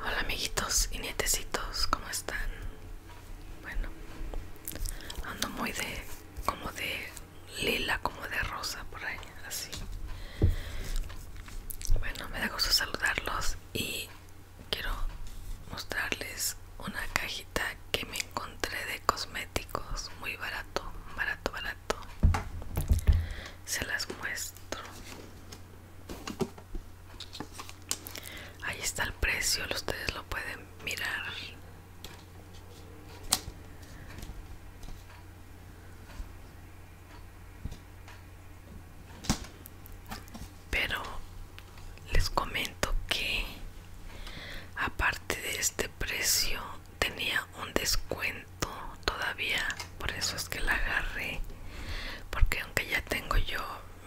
Hola amiguitos y nietecitos, ¿cómo están? Bueno, ando muy de, como de lila, como de rosa por ahí, así. Bueno, me da gusto saludarlos y quiero mostrarles una cajita que me encontré de cosméticos, muy barato, barato, barato. Se las muestro. Ahí está el precio, ustedes lo pueden mirar. Pero les comento que aparte de este precio tenía un descuento todavía por eso es que la agarré porque aunque ya tengo yo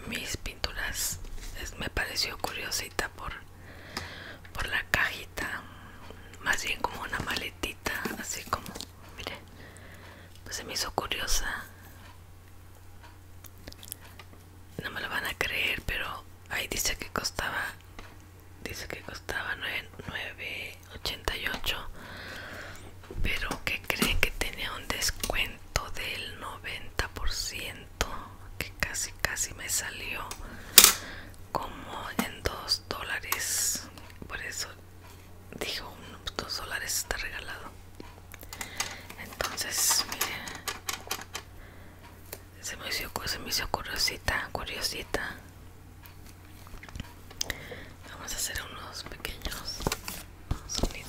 mis pinturas me pareció curiosita por por la cajita más bien como una maletita así como mire pues se me hizo curiosa no me lo van a creer pero ahí dice que costaba dice que costaba 9, 9 88 pero que creen que tenía un descuento del 90% que casi casi me salió como en dos dólares por eso dijo 2 pues, dólares está regalado entonces mire se me hizo, se me hizo curiosita curiosita Vamos a hacer unos pequeños sonidos.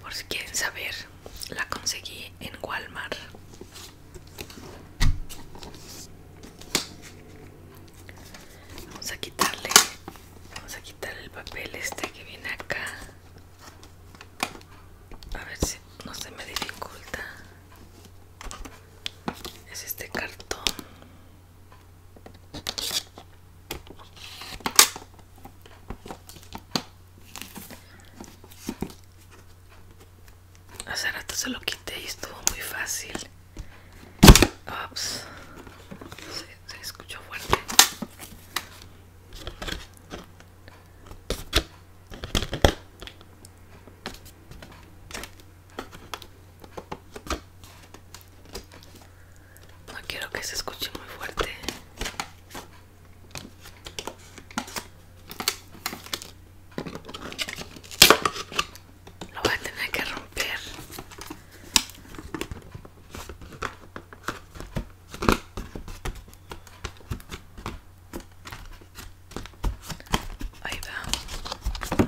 Por si quieren saber, la conseguí en Walmart. Vamos a quitarle, vamos a quitar el papel este que viene acá. A ver si no se me dificulta es este cartón hace rato se lo quité y estuvo muy fácil Ops. Se, se escuchó fuerte no quiero que se escuche muy fuerte. Lo voy a tener que romper. Ahí va.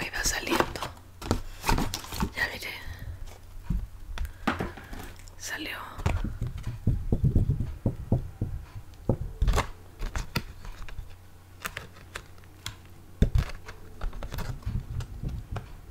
Ahí va saliendo. Ya mire Salió.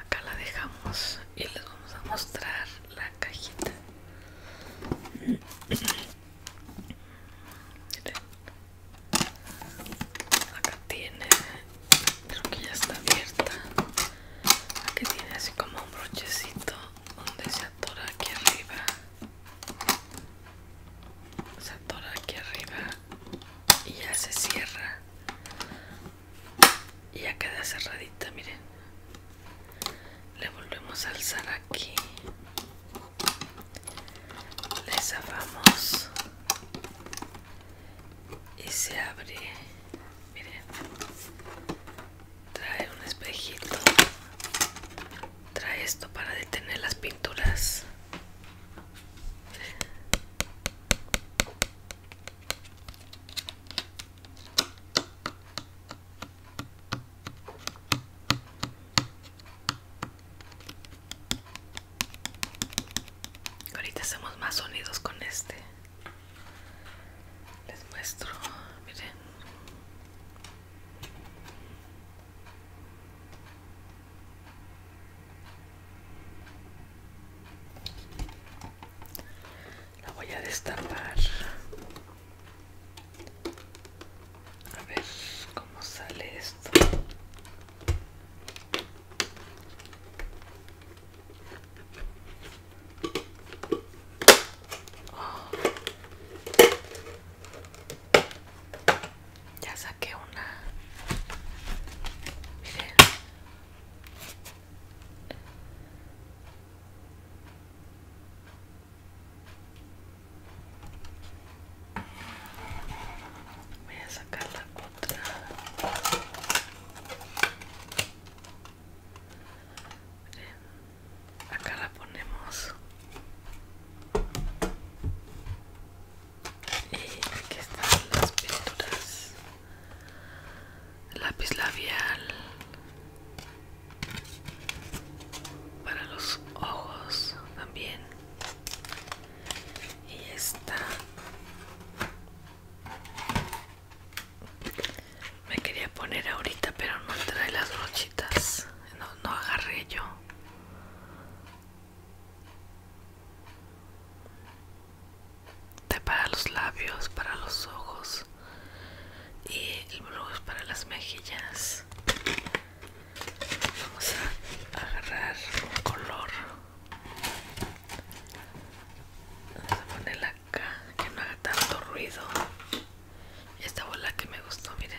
Acá la dejamos y les vamos a mostrar la cajita. Acá tiene, creo que ya está abierta. Aquí tiene así como un brochecito donde se atora aquí arriba. Se atora aquí arriba y ya se cierra. Y ya queda cerradita, miren. Le volvemos a alzar aquí. Le zafamos y se abre miren trae un espejito trae esto para detener las pinturas Ahorita hacemos más sonidos con este les muestro miren la voy a destapar a ver cómo sale esto ya saqué una. Miren. Voy a sacar la otra. Eh, acá la ponemos y aquí están las pinturas lápiz labial para los ojos también y está. Me quería poner ahorita, pero no trae las brochitas. No, no agarré yo. Te para los labios, para los ojos y el es para las mejillas. Vamos a agarrar un color. Vamos a poner la que no haga tanto ruido esta bola que me gustó miren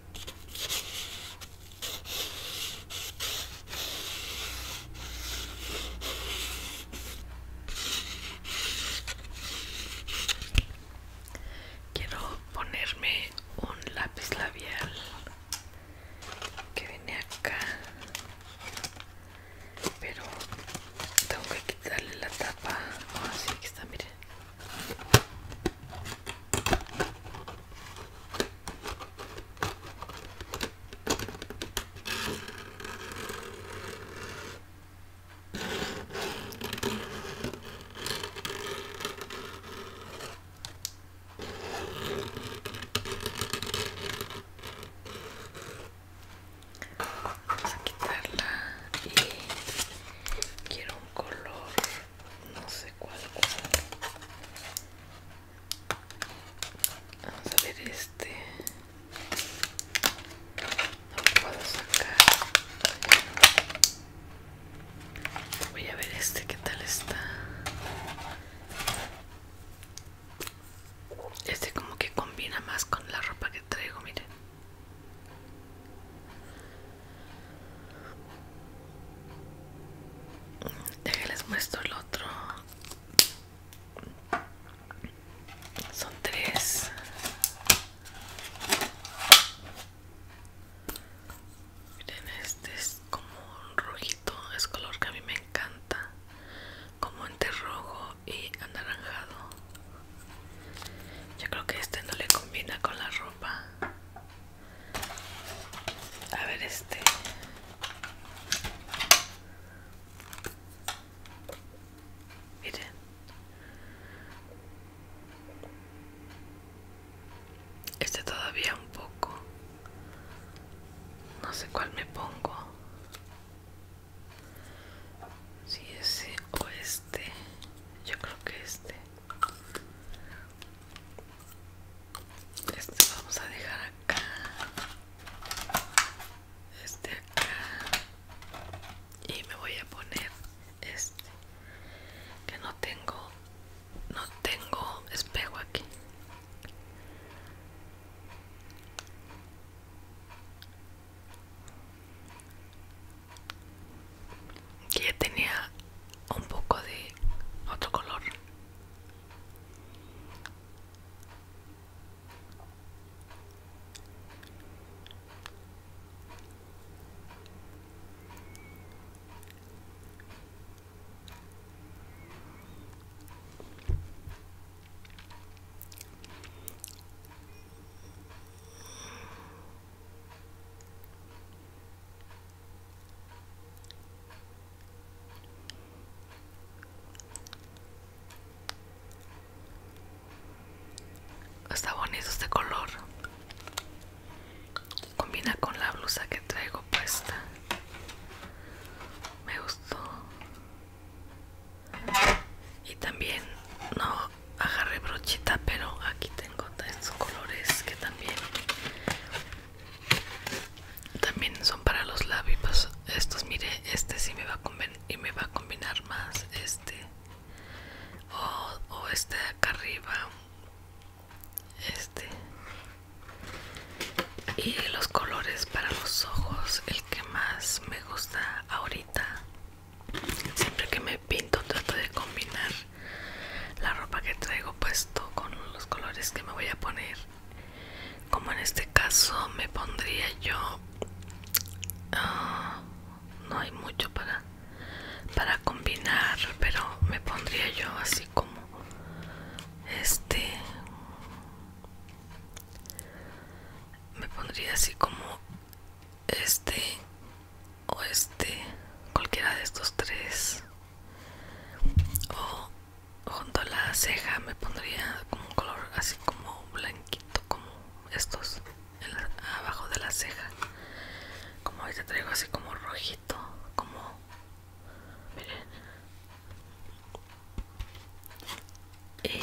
Quiero ponerme un lápiz labial que viene acá, pero tengo que quitarle la tapa. así ah, que está, miren. Vamos a quitarla y quiero un color no sé cuál, Vamos a ver este. No puedo sacar. Voy a ver este, qué tal está. Este como que combina más con la ropa que traigo, miren les muestro el otro. Son tres. Miren, este es como un rojito, es color que a mí me encanta, como entre rojo y anaranjado. Yo creo que este no le combina con la ropa. A ver este. Este todavía un poco. No sé cuál me pongo. Si ese o este. Yo creo que este. Este vamos a dejar acá. Este acá. Y me voy a poner este. Que no tengo. No tengo espejo aquí. Que tenía un poco de otro color Está bonito este color. Combina con la blusa que traigo puesta. Me gustó. Y también no agarré brochita, pero aquí tengo estos colores que también también son para los labios. Estos, mire, este sí me va a y me va a combinar más. Este o, o este de acá arriba. Este y los colores para los ojos, el que más me gusta ahorita. Siempre que me pinto trato de combinar la ropa que traigo puesto con los colores que me voy a poner como en este caso me pondría yo ah, no hay mucho para para combinar pero me pondría yo así como este me pondría así como este o este cualquiera de estos tres o junto a la ceja me pondría como un color así como blanquito como estos abajo de la ceja como ahorita traigo así como rojito como miren y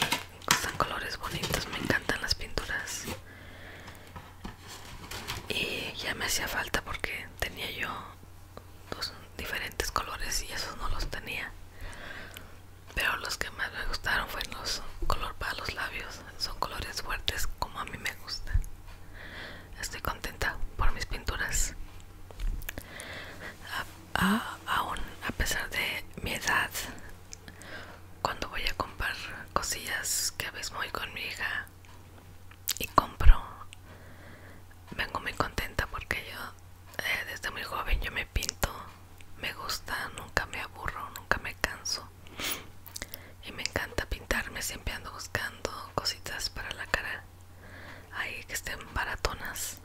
están colores bonitos me encantan las pinturas y ya me hacía falta porque tenía yo dos pues, diferentes colores y esos no los tenía pero los que más me gustaron fueron los color para los labios son colores fuertes como a mí me gusta estoy contenta por mis pinturas aún a pesar de mi edad cuando voy a comprar cosillas que a veces voy con mi hija y compro vengo muy contenta porque yo eh, desde muy joven yo me pinto me gusta nunca me aburro nunca me canso y me encanta pintarme siempre ando buscando cositas para la cara ahí que estén baratonas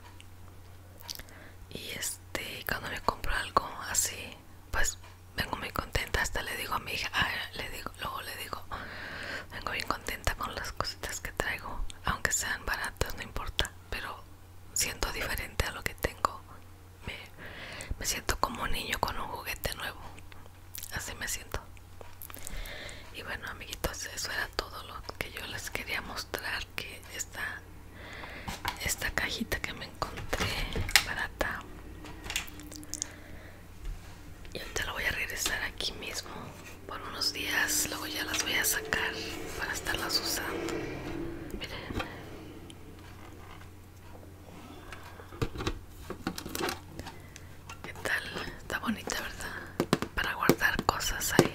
y este cuando me compro algo así pues vengo muy contenta hasta le digo a mi hija ah, le digo luego le digo, vengo bien contenta con las cositas que traigo, aunque sean baratas, no importa, pero siento diferente a lo que tengo. Me, siento como un niño con un juguete nuevo. Así me siento. Y bueno, amiguitos, eso era todo lo que yo les quería mostrar. Que esta, esta cajita que me encontré barata y te lo voy a regresar aquí mismo por unos días luego ya las voy a sacar para estarlas usando miren qué tal está bonita verdad para guardar cosas ahí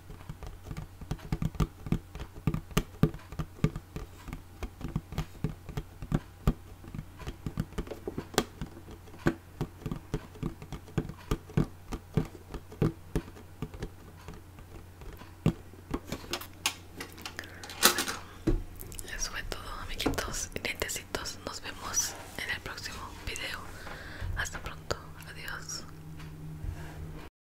Bueno, les fue todo amiguitos y Nos vemos en el próximo video. Hasta pronto. Adiós.